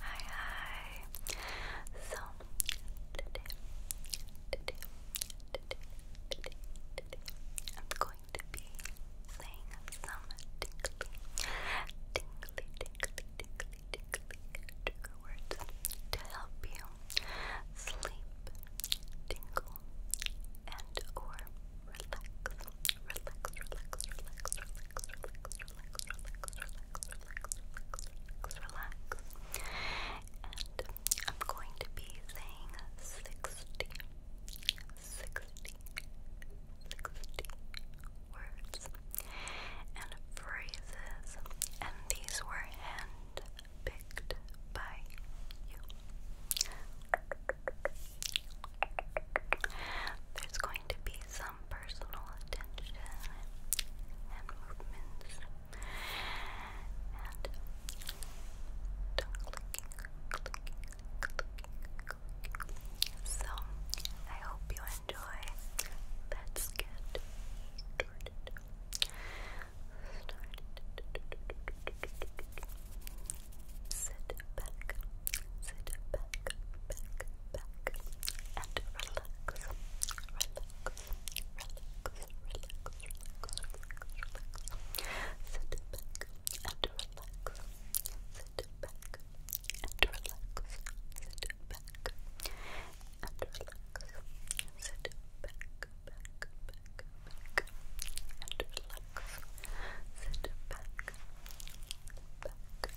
Hi, hi. So today, today, today, today, today, I'm going to be saying some tingly, tingly, tingly, tingly, tingly trigger words to help you sleep, tingle, and or relax, relax, relax, relax, relax, relax, relax, relax, relax relax, relax, relax. And I'm going to be saying 60, words and phrases, and these were hand by you. There's going to be some personal attention and movements So I hope you enjoy. Let's get started. Sit back back, back, sit back and relax, sit back and relax, sit back and relax, sit back, back, back, back, and relax, sit back, back,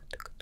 lots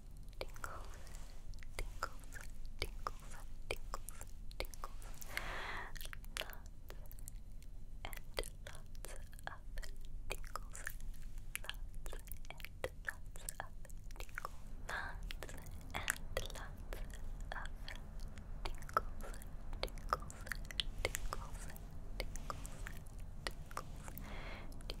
tingles, tingles, tingles, tingles, tingles, lots and lots of tingles, lots and lots of tingles, lots and lots of tingles, tingles, tingles, tingles, tingles, tingles,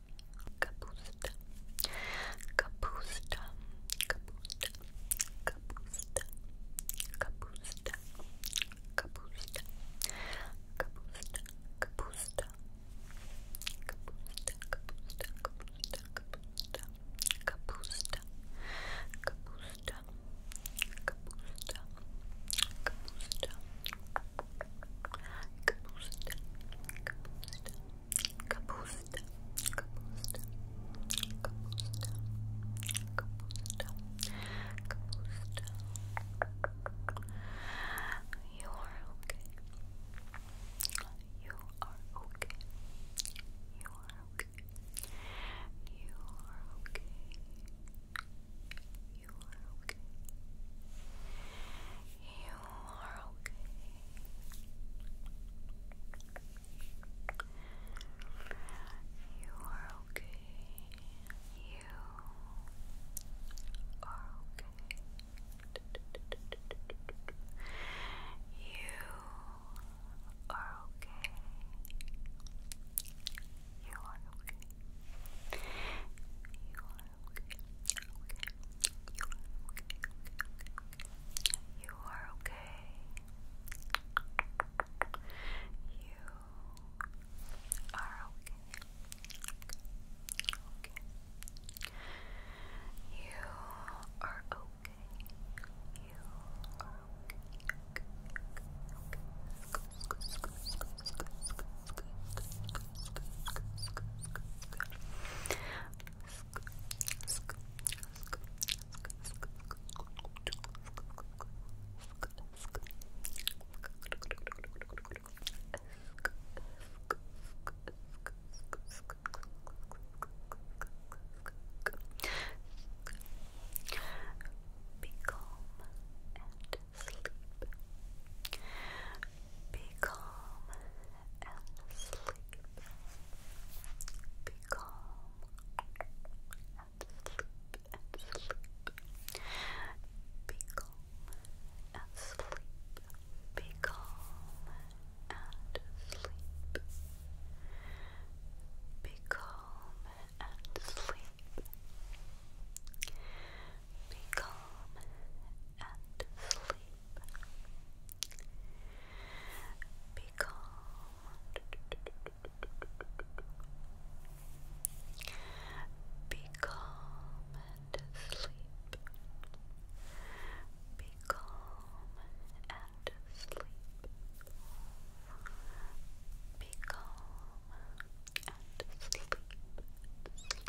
Kapusta, kapusta, kapusta, kapusta, kapusta, kapusta, kapusta, kapusta, kapusta, kapusta, kapusta, kapusta, kapusta, kapusta, kapusta, kapusta, kapusta, kapusta, Kapusta, kapusta, kapusta, kapusta, kapusta. You are okay. You are okay. You are okay. You are okay. You are okay. You are okay. You are okay. You are okay. You are okay. You are okay. You are okay. You are okay. You are okay. You are okay. You are okay. Okay. Okay. Okay. Be calm and sleep. Be calm and sleep. Be calm and sleep and sleep. Be calm and sleep. Be calm and sleep. Be calm and sleep. Be calm and sleep. Be calm. Be calm and sleep. Be calm and sleep. Be calm and sleep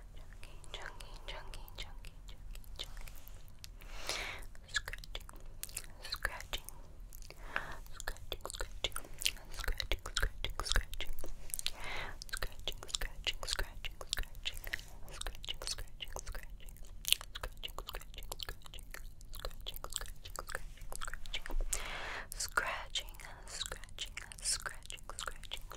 chunky, chunky, chunky, chunky, chunky, chunky. Scratching, scratching, scratching, scratching, scratching, scratching, scratching, scratching, scratching, scratching, scratching, scratching, scratching, scratching, scratching, scratching, scratching. Scratching, scratching, scratching, scratching, scratching, scratching, scratching, scratching,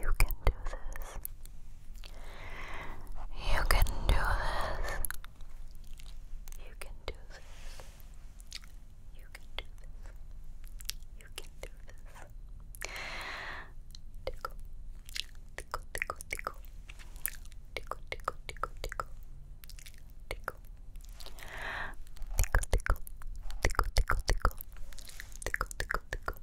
You can do this. You can do this. You can do this. You can do this. You can do this. Tickle, tickle, tickle, tickle. Tickle, tickle, tickle, tickle. Tickle. Tickle, tickle, tickle, tickle, tickle. Tickle,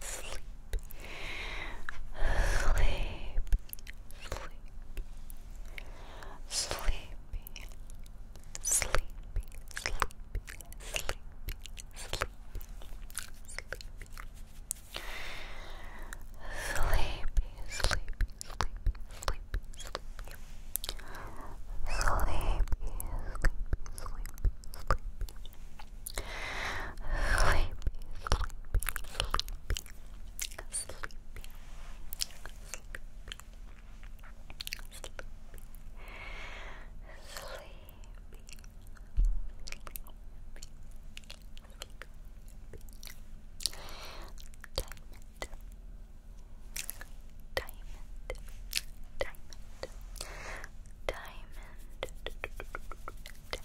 sleep, sleep, sleepy, sleepy, sleepy, sleepy, sleepy, sleepy, sleepy. Sleepy, sleepy, sleepy, sleepy, sleepy. Sleepy, sleepy, sleepy, sleepy sleepy, sleepy, sleepy, sleepy, sleepy, sleepy, sleepy. Diamond, diamond, diamond, diamond, diamond, diamond,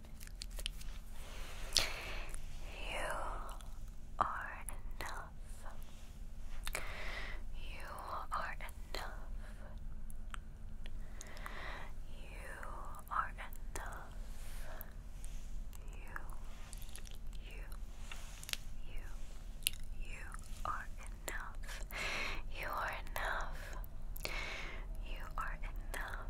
You are enough. You are enough. You are enough. You, you, you, you are enough. You are enough. You are enough.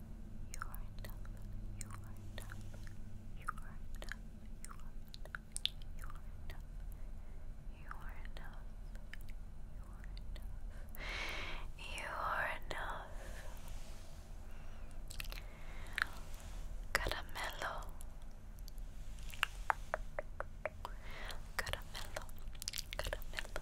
You are enough. You are enough. You are enough. You are enough. You are enough. You are enough. You are enough. You are enough. Caramelo. Caramelo. Caramelo. Caramelo.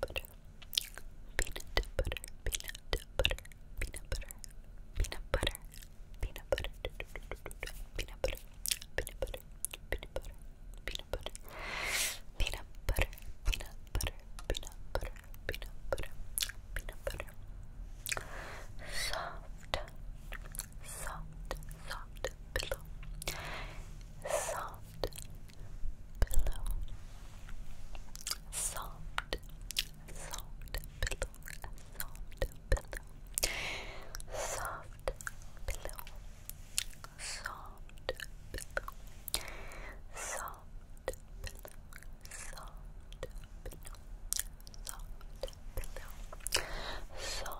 butter, peanut butter, peanut butter, peanut butter, peanut butter, peanut butter, peanut butter, peanut butter, peanut butter, peanut butter, peanut butter, peanut butter, peanut butter, peanut butter, peanut butter, soft, soft, soft pillow, soft. Soft, pillow. Soft, soft pillow, soft pillow. Soft pillow. Soft pillow. Soft pillow. Soft pillow. Soft pillow. Soft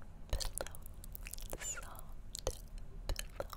pillow. Soft pillow.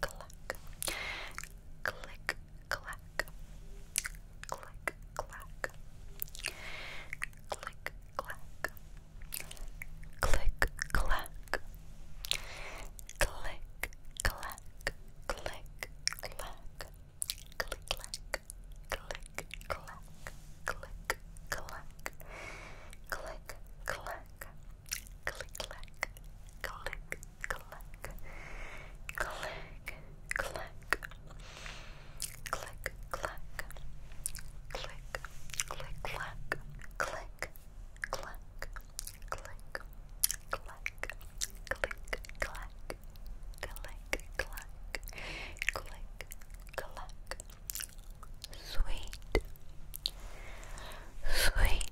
clack, click, clack, click, clack, click, clack, click, clack, click, clack, click, clack, click, clack, click, clack, click, clack, click, clack click, clack, click, clack, click, clack, click, clack, click, click, clack, click, clack, click, clack, click, clack. Click, clack, click, clack. Sweet, sweet,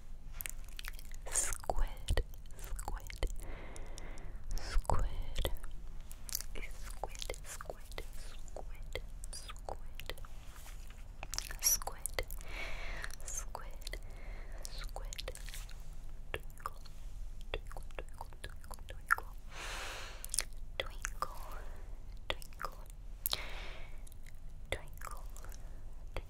Squid, squid, squid, squid, squid, squid, squid, squid, squid, squid, twinkle, twinkle, twinkle, twinkle, twinkle, twinkle, twinkle, twinkle,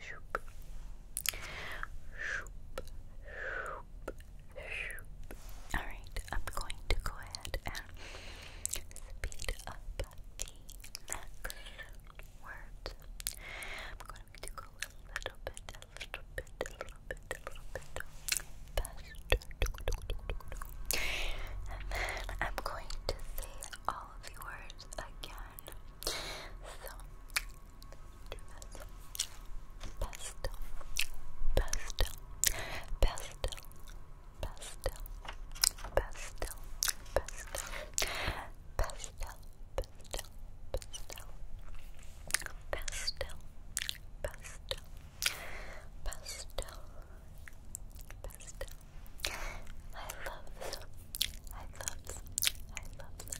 shoop, Alright, I'm going to go ahead and speed up the next words. I'm going to go a little bit, a little bit, a little bit, a little bit faster. And then I'm going to say all of the words again. So, Pastel, pastel, pastel, pastel, pastel, pastel, pastel, pastel, pastel, pastel, pastel, pastel, pastel. I love, I love, I love,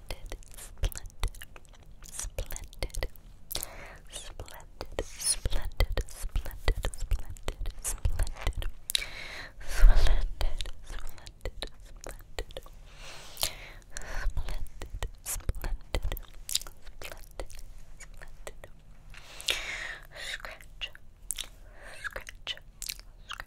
splendid, splendid, splendid, splendid, splendid, splendid, splendid, splendid, splendid, splendid, splendid. Splendid, splendid, splendid, splendid. Scratch, scratch, scratch,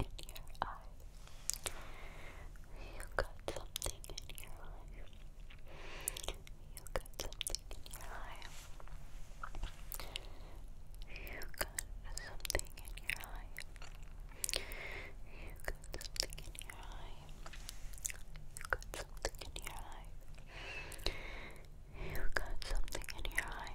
in your eye. You got something in your eye. You got something in your eye. You got something in your eye. You got something in your eye. You got something in your eye. You got something in your eye.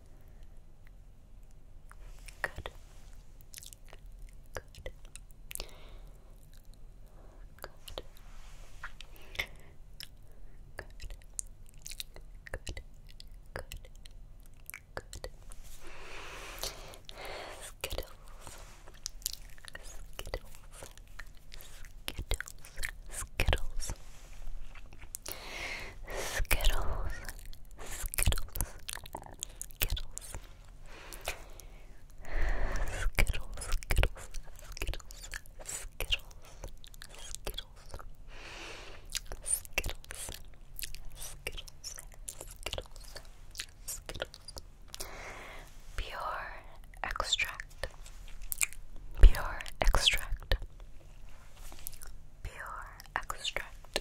Good. Good. Good. Good. Good. Good. Good. Skittles. Skittles. Skittles. Skittles. Skittles. Skittles, Skittles, Skittles, Skittles, Skittles, Skittles, Skittles. Skittles, Skittles, Skittles, Skittles. Pure extract, pure extract, pure extract,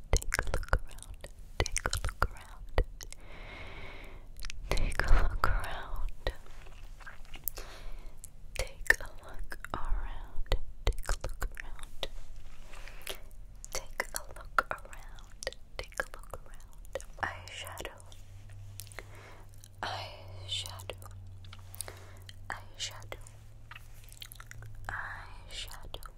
Take a look around. Take a look around. Take a look around. Take a look around. Take a look around. Take a look around. Take a look around. Eyeshadow. Eyeshadow. Eyeshadow. Eyeshadow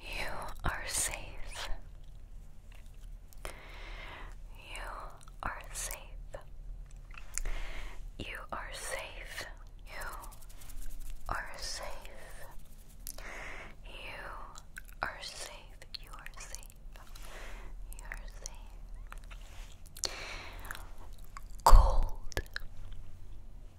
You are safe. You are safe. You are safe. You are safe. You are safe. You are safe. You are safe. Cold.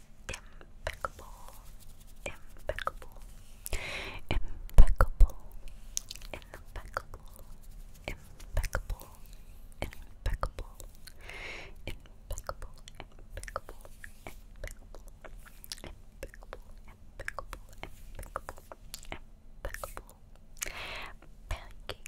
impeccable, impeccable, impeccable, impeccable, impeccable, impeccable, impeccable, impeccable, impeccable, impeccable, impeccable, impeccable, impeccable, pancake,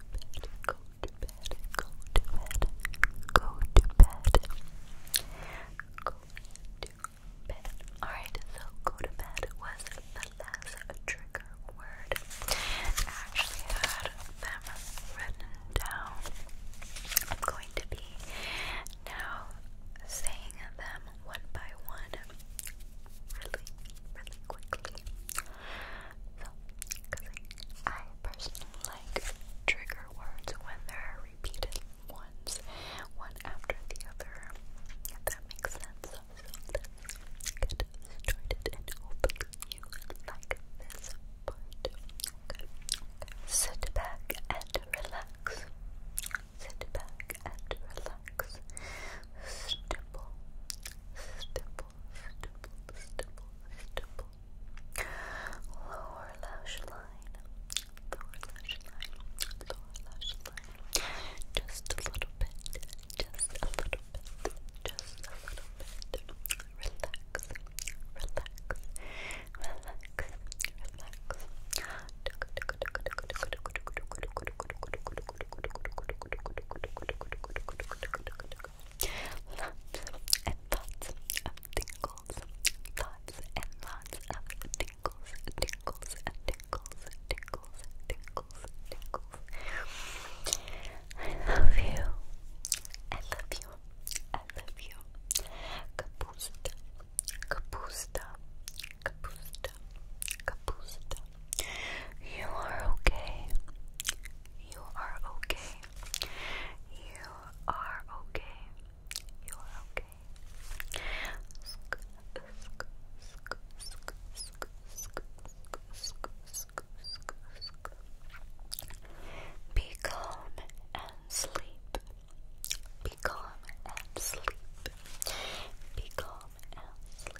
go to bed, go to bed, go to bed, go to bed. Alright, so go to bed was the last trigger word. I actually had them written down. I'm going to be now saying them one by one really, really quickly. So, I, personally like trigger words when they're repeated once, one after the other, if that makes sense. So, let started and hopefully you like this part. Sit back and relax. Sit back and relax. Stipple, stipple stipple, stipple, stipple. Lower lash line, lower lash line, lower lash line. Just a little bit, just a little bit, just a little bit. Relax, relax, relax, relax. Lots tingles. Lots and lots of tingles, tingles, tingles, tingles, tingles, tingles. I love you. I love you. I love you. Kapusta. Kapusta. Kapusta. Kapusta. You are okay. You are okay. You are okay. You are okay. Sk sk sk sk sk sk sk sk sk sk. Be calm and sleep. Be calm and sleep. Be calm and sleep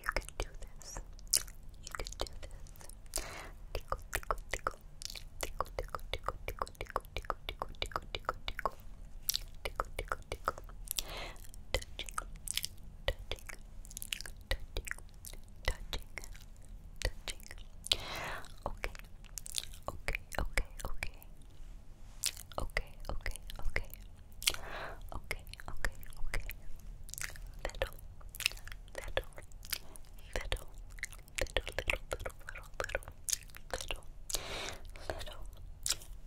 You can do this. You can do this. Tickle, tickle, tickle. Tickle, tickle, tickle, tickle, tickle, tickle, tickle, tickle, tickle, tickle. Tickle, tickle, tickle. Touching, touching, touching, touching, touching. Okay, okay, okay, okay. Okay, okay, okay. Okay, okay, okay. Little, little, little, little, little, little, little, little,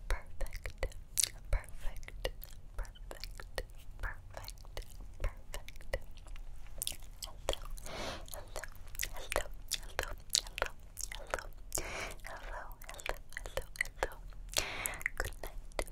Perfect, perfect, perfect, perfect, perfect. Hello, hello, hello, hello, hello, hello, hello, hello, hello, Good night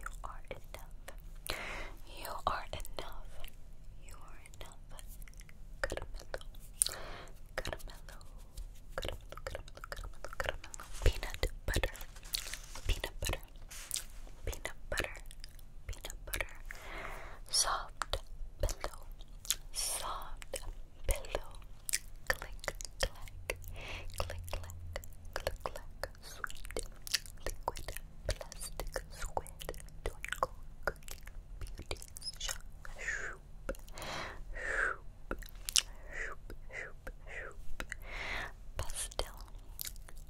You are enough. You are enough. You are enough. Caramelo. Caramelo. Caramelo, caramelo, caramelo, caramelo. Peanut butter. Peanut butter. Peanut butter. Peanut butter. Soft pillow. Soft pillow. Click clack, click, clack, click, clack, sweet, liquid, plastic, squid, twinkle, cookie, beauty, shoop, shoop, shoop, shoop, shoop, shoop, pastel,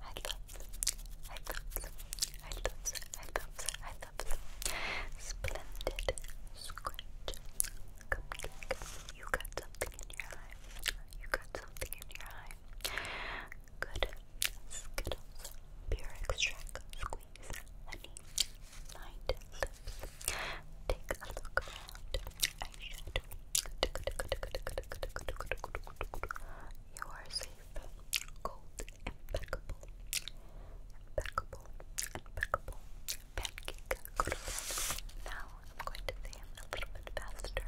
I love, I love, I love, I love, I love, splendid, scratch, cupcake. You got something in your eye. You got something in your eye. Good. Skittles. Pure extract. Squeeze. Honey. Night lips. Take a look around. Eyeshadow. You are safe. Cold. Impeccable. Impeccable. Impeccable. Pancake. Good. Now I'm going to say them a little bit faster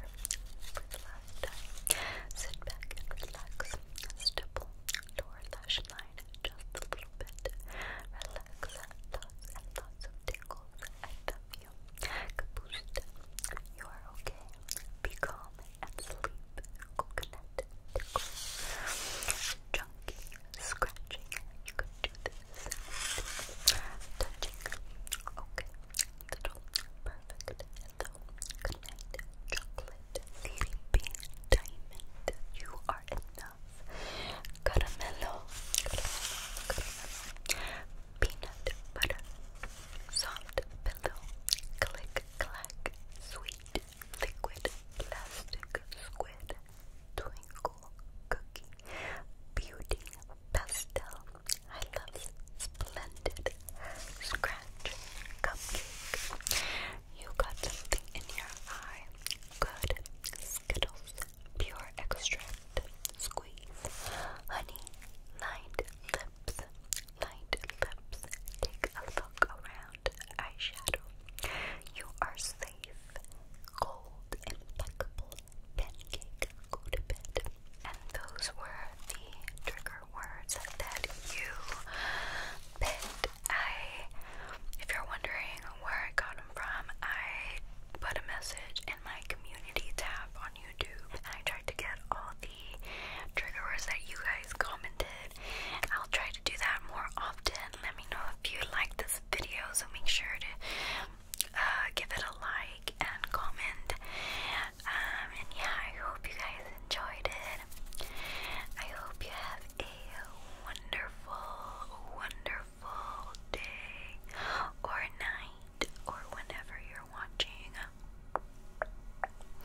last time. Sit back and relax. Stipple your lash line just a little bit. Relax thoughts thoughts of tingles. I love you. Kabushta, you are okay. Be calm and sleep. Coconut tickle. scratching. You could do this touching. Okay, little perfect. Hello, chocolate, sleepy, diamond. You are enough. caramello. peanut butter, soft pillow, click clack, sweet liquid, plastic squid, twinkle cookie, beauty pastel, I love Splendid Scratch Cupcake. You got something in your eye. Good. Skittles. Pure extract. Squeeze. Honey. Lined lips. Lined lips. Take a look around. Eyeshadow. You are safe. Gold impeccable pancake, go to bed. And those were the trigger words that you picked. I, if you're wondering where I got them from, I put a message in my community tab on YouTube I tried to get all the trigger words that you guys commented. I'll try to do that more often. Let me know if you like this video, so make sure to uh, give it a like and comment. Um, and yeah, I hope you guys enjoyed it. I hope you have a wonderful, wonderful day or night or whenever you're watching.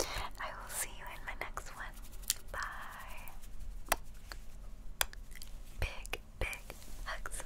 I will see you in my next one. Bye. Big, big hugs.